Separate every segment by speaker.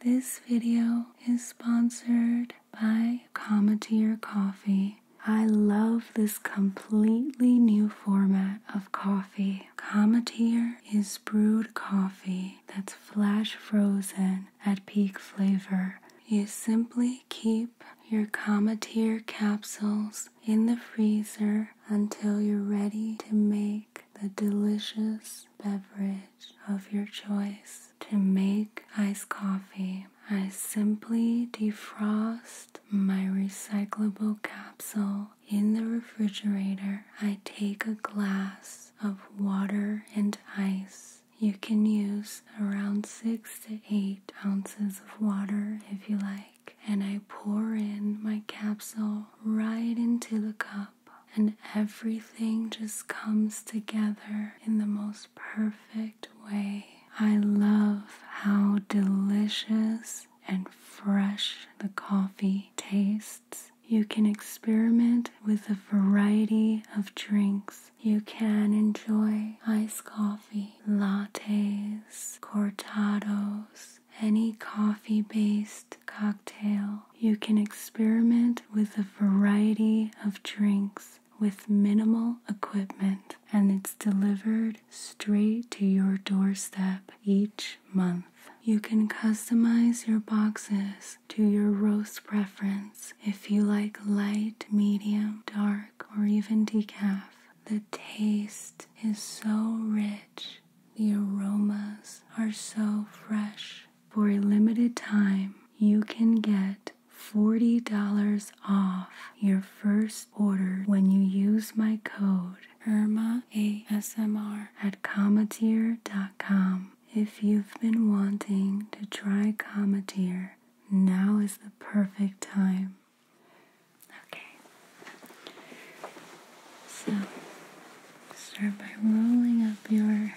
Speaker 1: This video is sponsored by Cometeer Coffee. I love this completely new format of coffee. Cometeer is brewed coffee that's flash frozen at peak flavor. You simply keep your Cometeer capsules in the freezer until you're ready to make the delicious beverage of your choice. To make iced coffee, I simply defrost my recyclable capsule in the refrigerator. I take a glass of water and ice. You can use around 6 to 8 ounces of water if you like, and I pour in my capsule right into the cup and everything just comes together in the most perfect way. I love how delicious and fresh the coffee tastes. You can experiment with a variety of drinks. You can enjoy iced coffee, lattes, cortados, any coffee based cocktail you can experiment with a variety of drinks with minimal equipment, and it's delivered straight to your doorstep each month. You can customize your boxes to your roast preference if you like light, medium, dark, or even decaf. The taste is so rich, the aromas are so fresh for a limited time, you can get $40 off your first order when you use my code IRMAASMR at cometeer.com. If you've been wanting to try Cometeer, now is the perfect time. Okay. So, start by rolling up your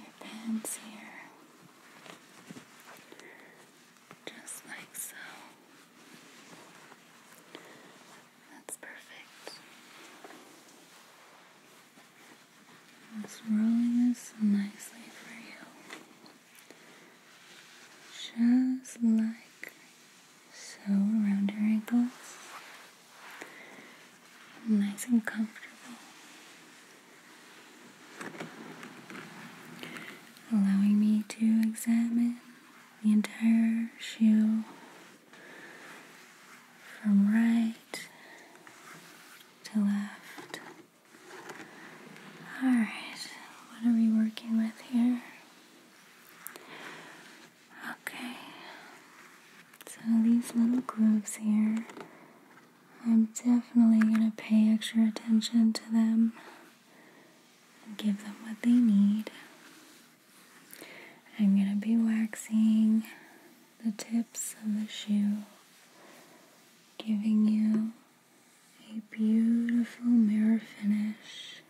Speaker 1: your pants here, just like so. That's perfect. It's rolling this nicely for you, just like so around your ankles nice and comfortable, allowing me to examine the entire shoe from right to left. Alright, what are we working with here? Okay, so these little grooves here, I'm definitely going to pay extra attention to them and give them what they need. I'm going to be waxing the tips of the shoe, giving you a beautiful mirror finish,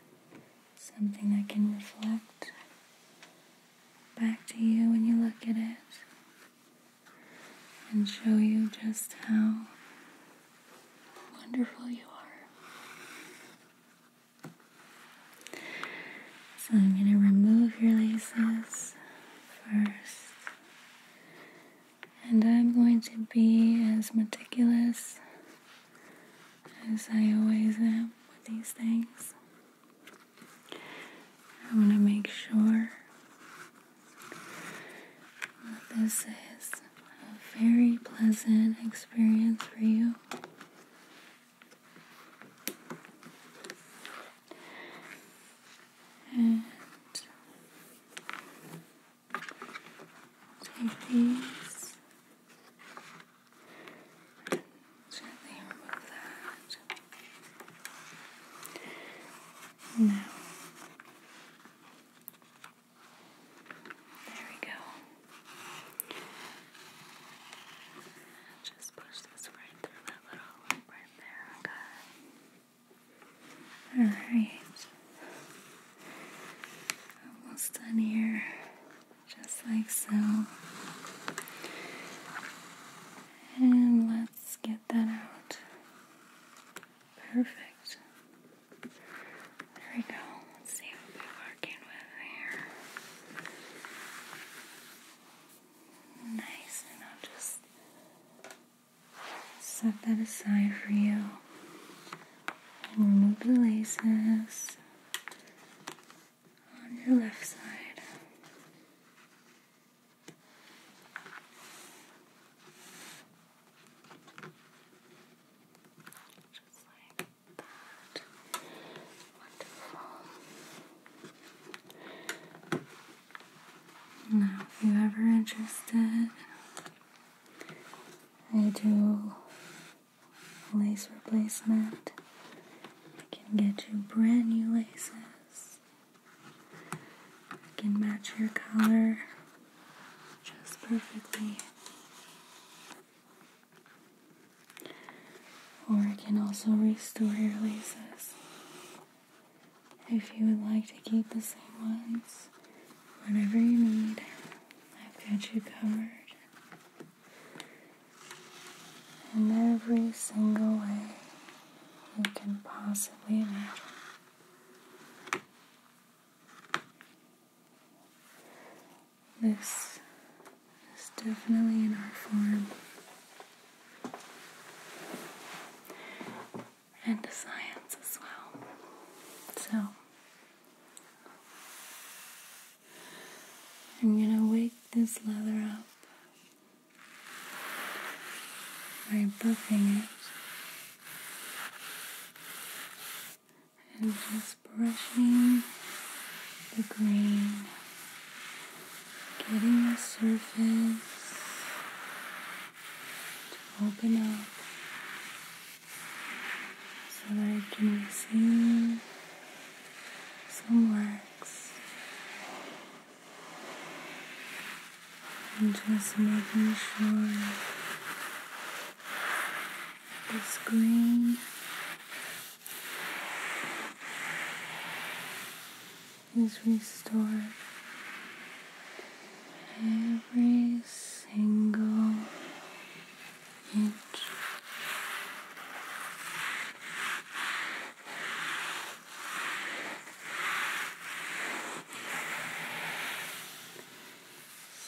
Speaker 1: something that can reflect back to you when you look at it and show you just how wonderful you are. So I'm going to remove your laces first. And I'm going to be as meticulous as I always am with these things. I want to make sure that this is a very pleasant experience for you. And take these Gently remove that. Now, there we go. Just push this right through that little loop right there. Okay. All right. Almost done here just like so. And let's get that out. Perfect. There we go. Let's see what we're working with here. Nice, and I'll just set that aside for you. And remove the laces on your left side. Just like that. Wonderful. Now, if you ever interested, I do lace replacement I can get you brand new laces. I can match your color just perfectly. Or I can also restore your laces. If you would like to keep the same ones, whatever you need, I've got you covered in every single way you can possibly imagine. This is definitely in our form and a science as well. So, I'm going to wake this leather up by buffing it and just brushing the grain, getting the surface to open up so I can see somewhere just making sure the screen is restored every single inch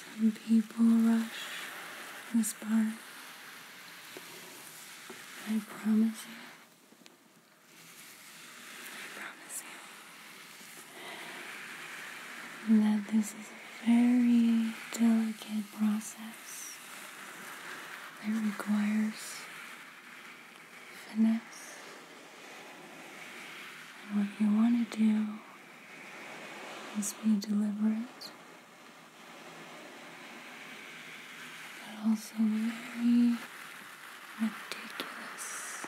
Speaker 1: some people rush this bar. I promise you. I promise you that this is a very delicate process. It requires finesse. And what you want to do is be deliberate, but also very meticulous.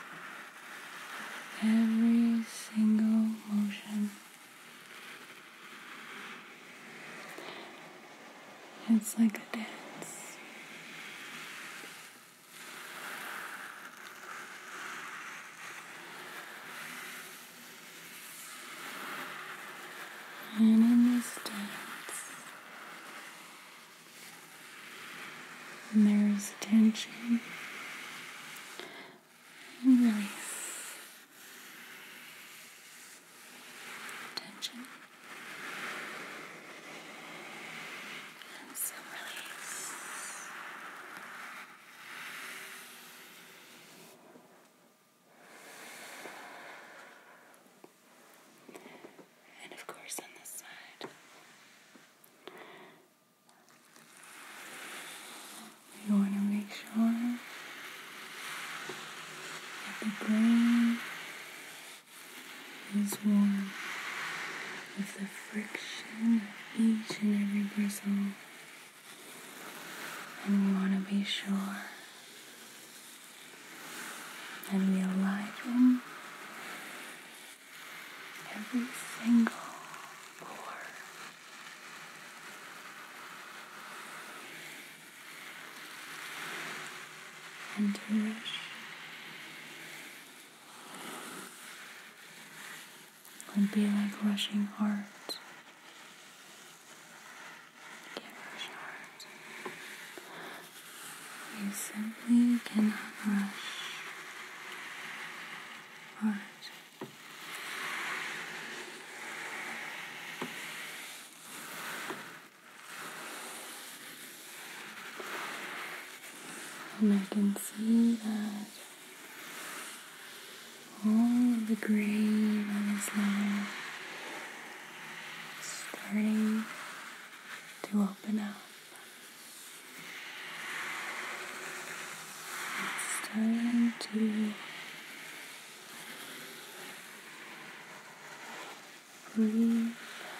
Speaker 1: Every single motion it's like a dance. And in this dance, there's tension and release tension, and release. And of course, on this side, you want to make sure the brain is warm with the friction of each and every bristle, and we want to be sure that we align every single pore and to rush would be like rushing hard. You can't rush hard. You simply cannot rush hard. And I can see that all of the gray that is now starting to open up. It's starting to Breathe. Just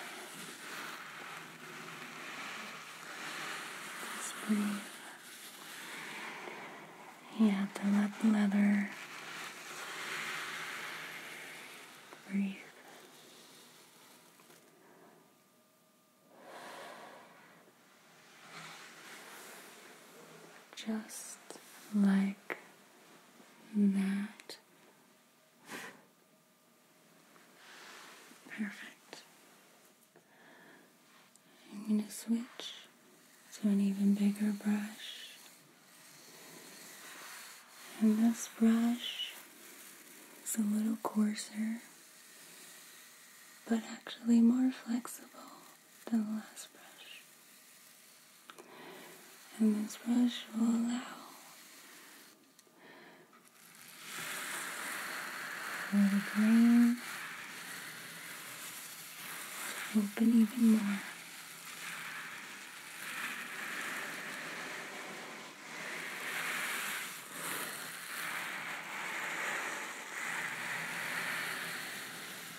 Speaker 1: to let the leather breathe. Just like that. Perfect. I'm going to switch to an even bigger brush. And this brush is a little coarser, but actually more flexible than the last brush and this brush will allow for the green to open even more.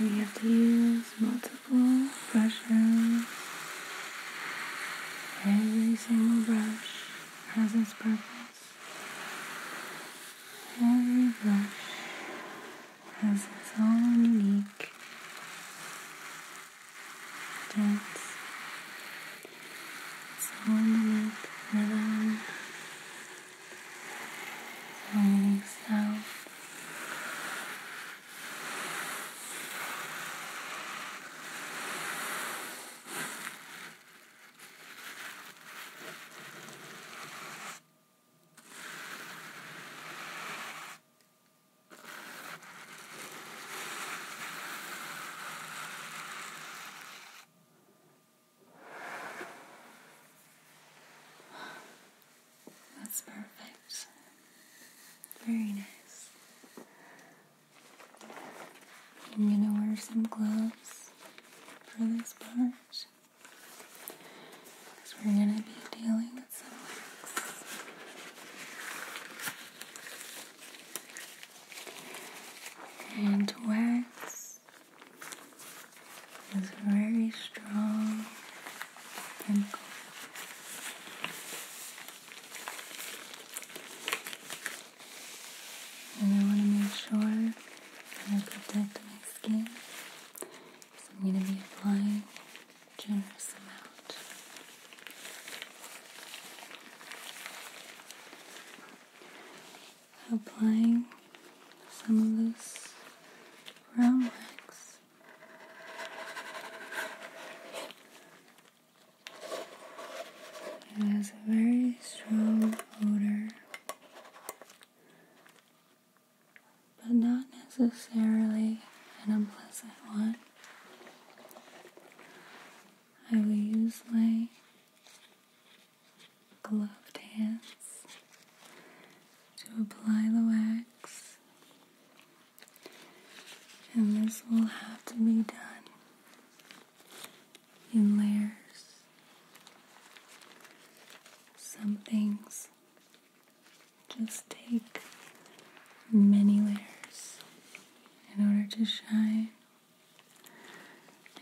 Speaker 1: We have to use multiple brushes. Every single brush has its purpose. Every brush has its own unique dance. So in the rhythm, rolling sound. That's perfect. Very nice. I'm gonna wear some gloves for this part because we're gonna be dealing and wax is very strong chemical. And I want to make sure that I protect my skin so I'm going to be applying a generous amount. Applying some of this brown wax. It has a very strong odor but not necessarily an unpleasant one. I will use my gloved hands to apply the wax, and this will have to be done in layers. Some things just take many layers in order to shine.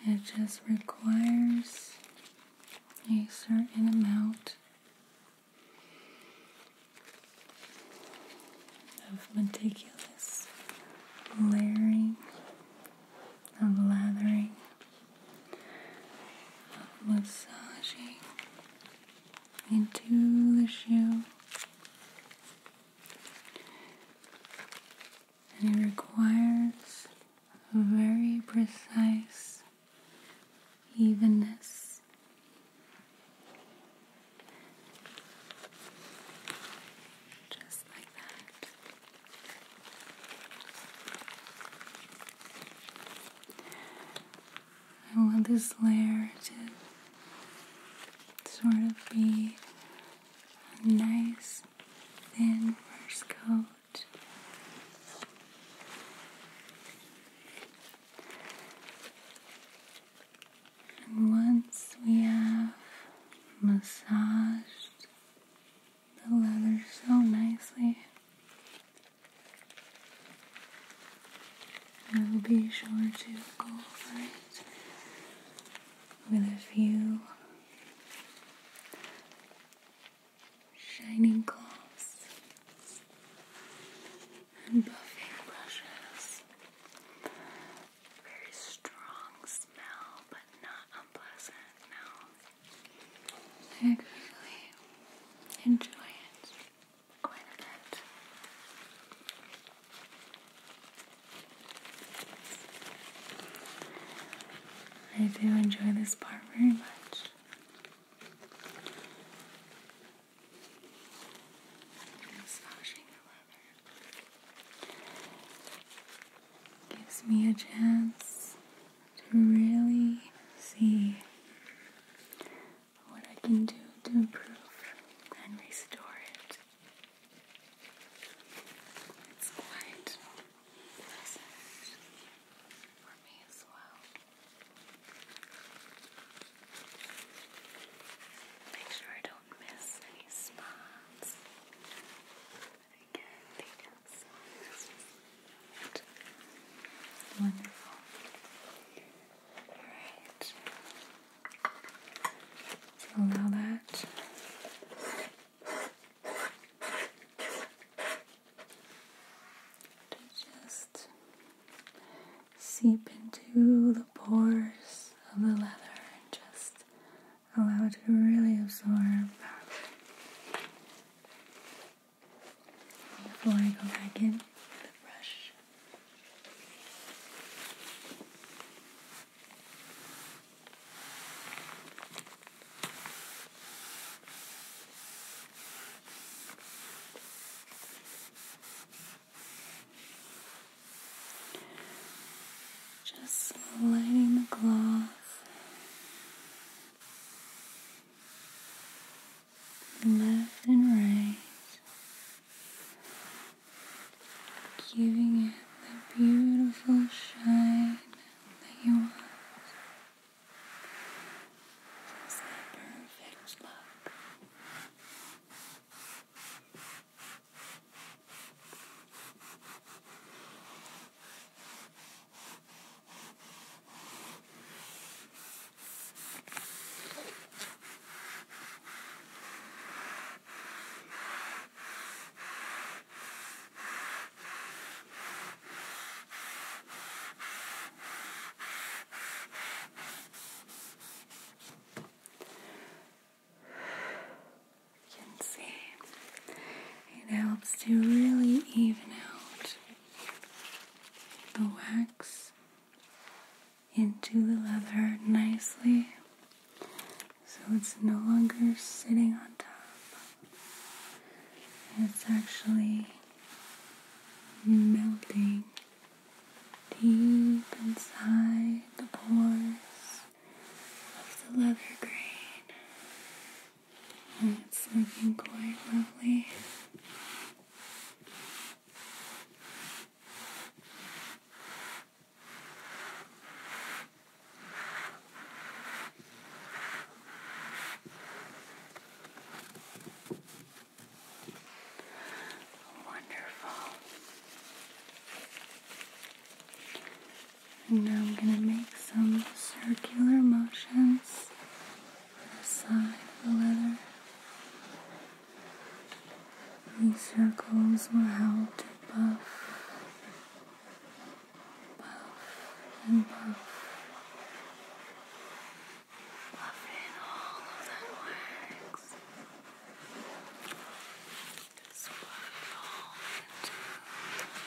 Speaker 1: It just requires a certain amount of meticulous layering, of lathering, of massaging, into the shoe. And it requires a very precise evenness. Just like that. I want this layer to sort of be a nice thin first coat. And once we have massaged the leather so nicely, I will be sure to go for it with a few shining gloves and buffing brushes. Very strong smell, but not unpleasant. No, I really enjoy it quite a bit. I do enjoy this part very much. Massaging the leather gives me a chance to really see what I can do to improve and restore it. It's quite pleasant for me as well. Make sure I don't miss any spots. But again, they just Wonderful. Allow that. To just seep into the pores of the leather and just allow it to really absorb. Before I go back in with the brush. Just sliding the cloth Left and right, giving it the beautiful shine that you want. Just the perfect look. You can see it helps to really even out the wax into the leather nicely so it's no longer sitting on top. It's actually melting deep inside the pores of the leather grain. And it's looking quite lovely. Wonderful. And now I'm going to make some circular motions on the side of the leather. These circles will help to buff, buff, and buff. Buff all of that wax. Just buff it into another.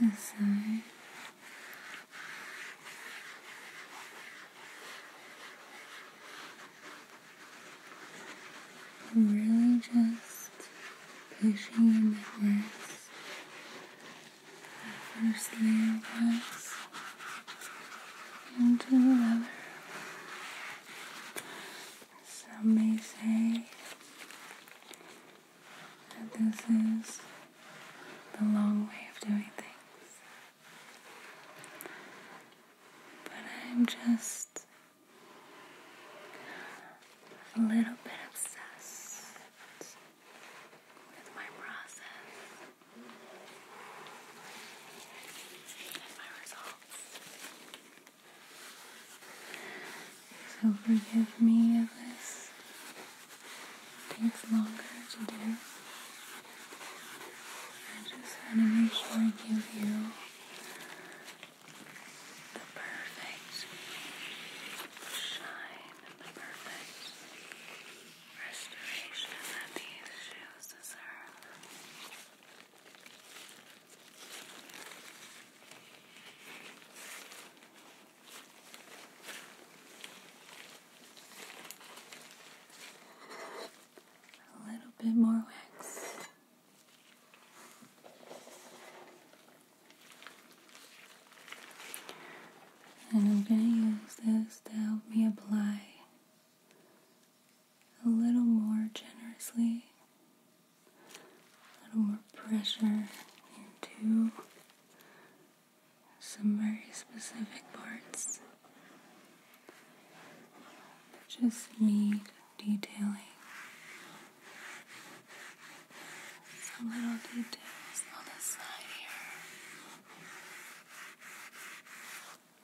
Speaker 1: I'm Really just pushing in words, The first layer into the other. Some may say this is the long way of doing things. But I'm just a little bit obsessed with my process and my results. So forgive me if this takes longer to do. I just want to make sure I give you the perfect shine and the perfect restoration that these shoes deserve. A little bit more wax. And I'm going to use this to help me apply a little more generously a little more pressure into some very specific parts that just need detailing. Some little details on the side here,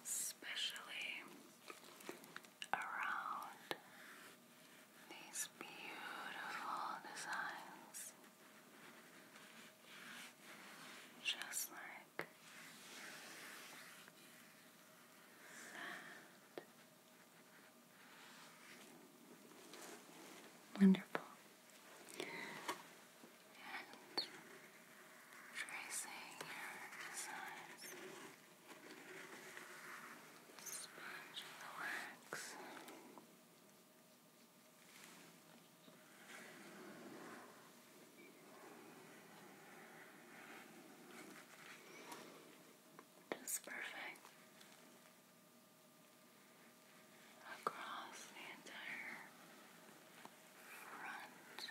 Speaker 1: especially around these beautiful designs, just like that. Wonderful. And tracing your designs sponge the wax. Just perfect across the entire front.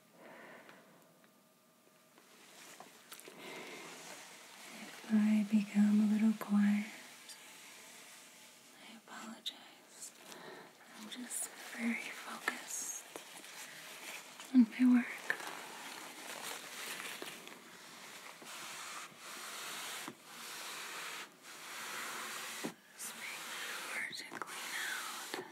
Speaker 1: If I become a little quiet, I apologize. I'm just very focused on my work. Swing vertically out. Smooth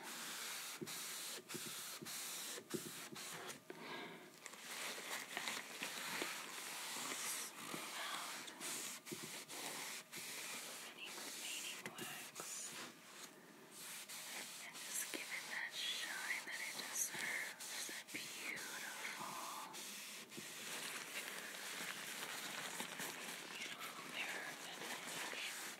Speaker 1: out any remaining wax and just give it that shine that it deserves. That beautiful, beautiful mirror that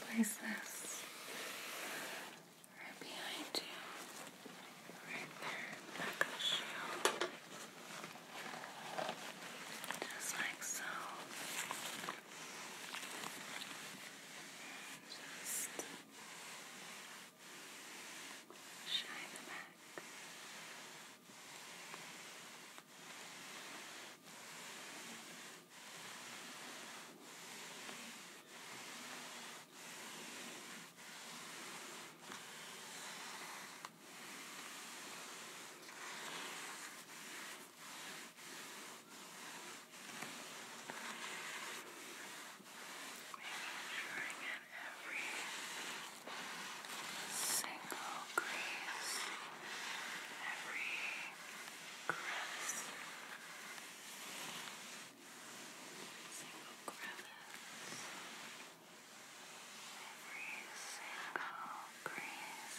Speaker 1: Place this right behind you, right there in the back of the shoe, just like so. And just shine the back sure I get every single crease, every crevice, single crevice, every single crease.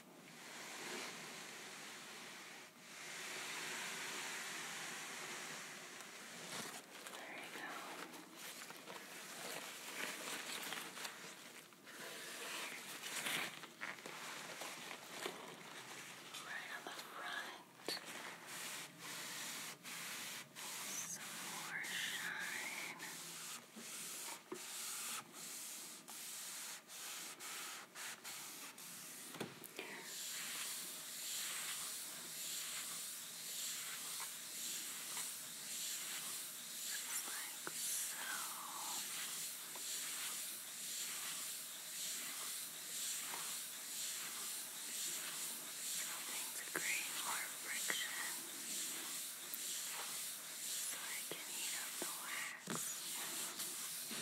Speaker 1: There you go. Right on the front. Some more shine. There just like so. Something to create more friction so I can heat up the wax.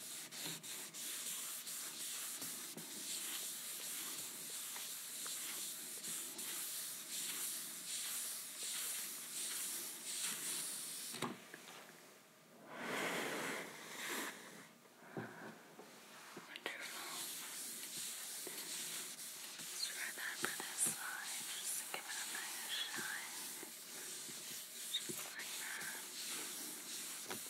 Speaker 1: Wonderful. Let's try that for this side. Just to give it a nice shine. Just like that.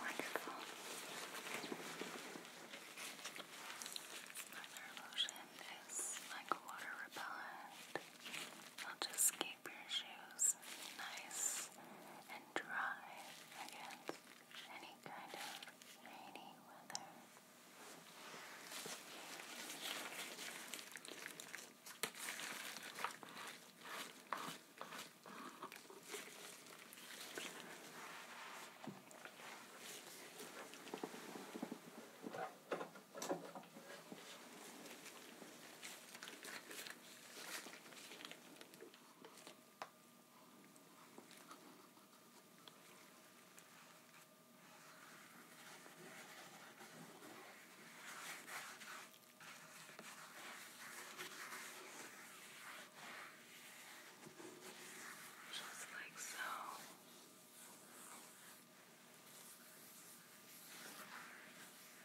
Speaker 1: Wonderful. Leather lotion is like water repellent. I'll just keep your shoes nice and dry against any kind of rainy weather. Just like so. All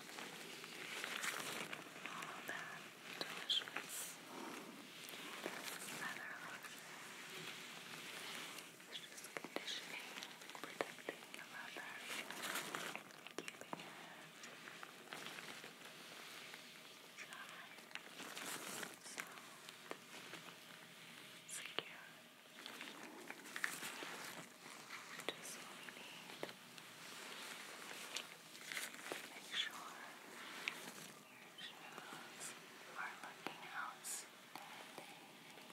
Speaker 1: All that delicious leather lotion is just conditioning, protecting the leather, keeping it dry, soft, secure. Just what we need. Make sure your shoes are looking out standing. Now,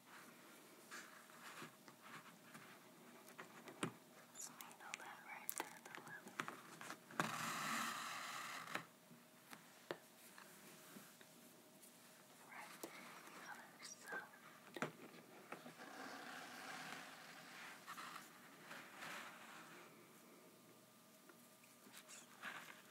Speaker 1: So you know that right there, the leather. Right there, the other side. Let's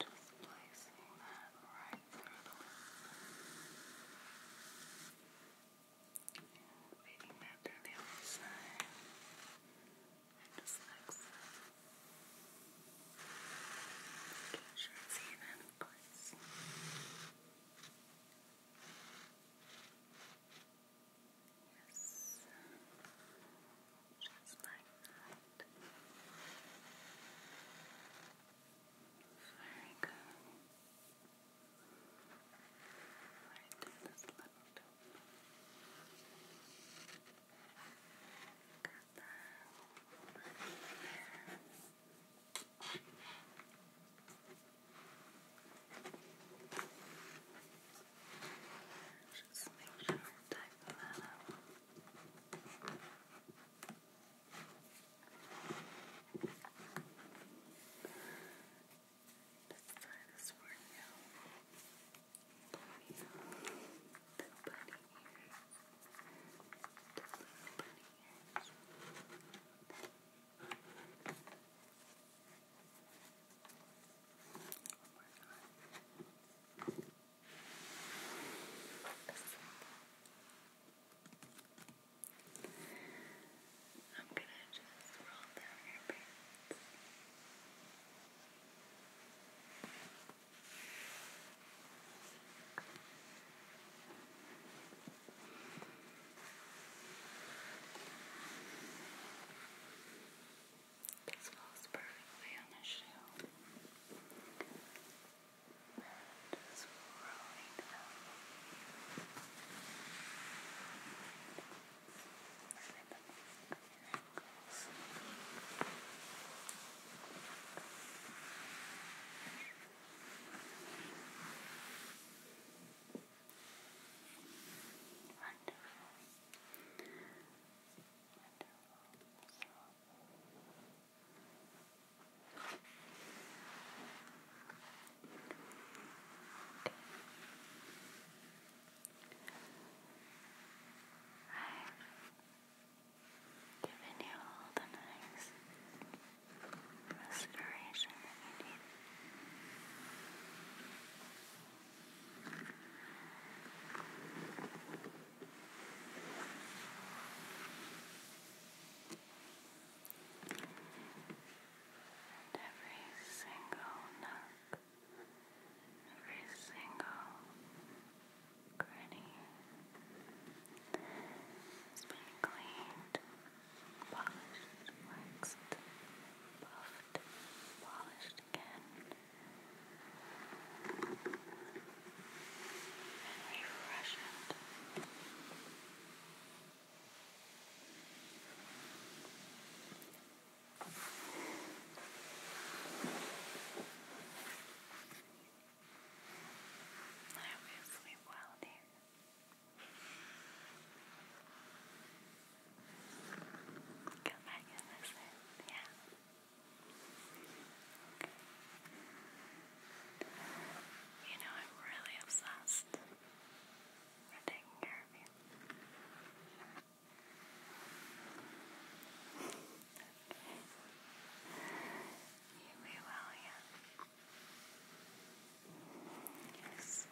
Speaker 1: Just placing that right through the loop. And feeding that through the other side. And just like so. Make sure it's even, of course. Yes. Just like that. Very good. Right in this little Got that. Just make sure I tighten that up. Let's try this one now. The bunny ears. The little bunny ears. One more time. I'm gonna just roll down your pants. This falls perfectly on the shoe. Just rolling down. Wonderful. Wonderful. So, I've given you all the nice restoration you need. And every single nook, every single granny has been cleaned, polished, waxed, buffed, polished again and refresh it. I hope you sleep well, dear. Come back and listen, yeah. You know, I'm really obsessed with taking care of you. okay. You yeah. Yes.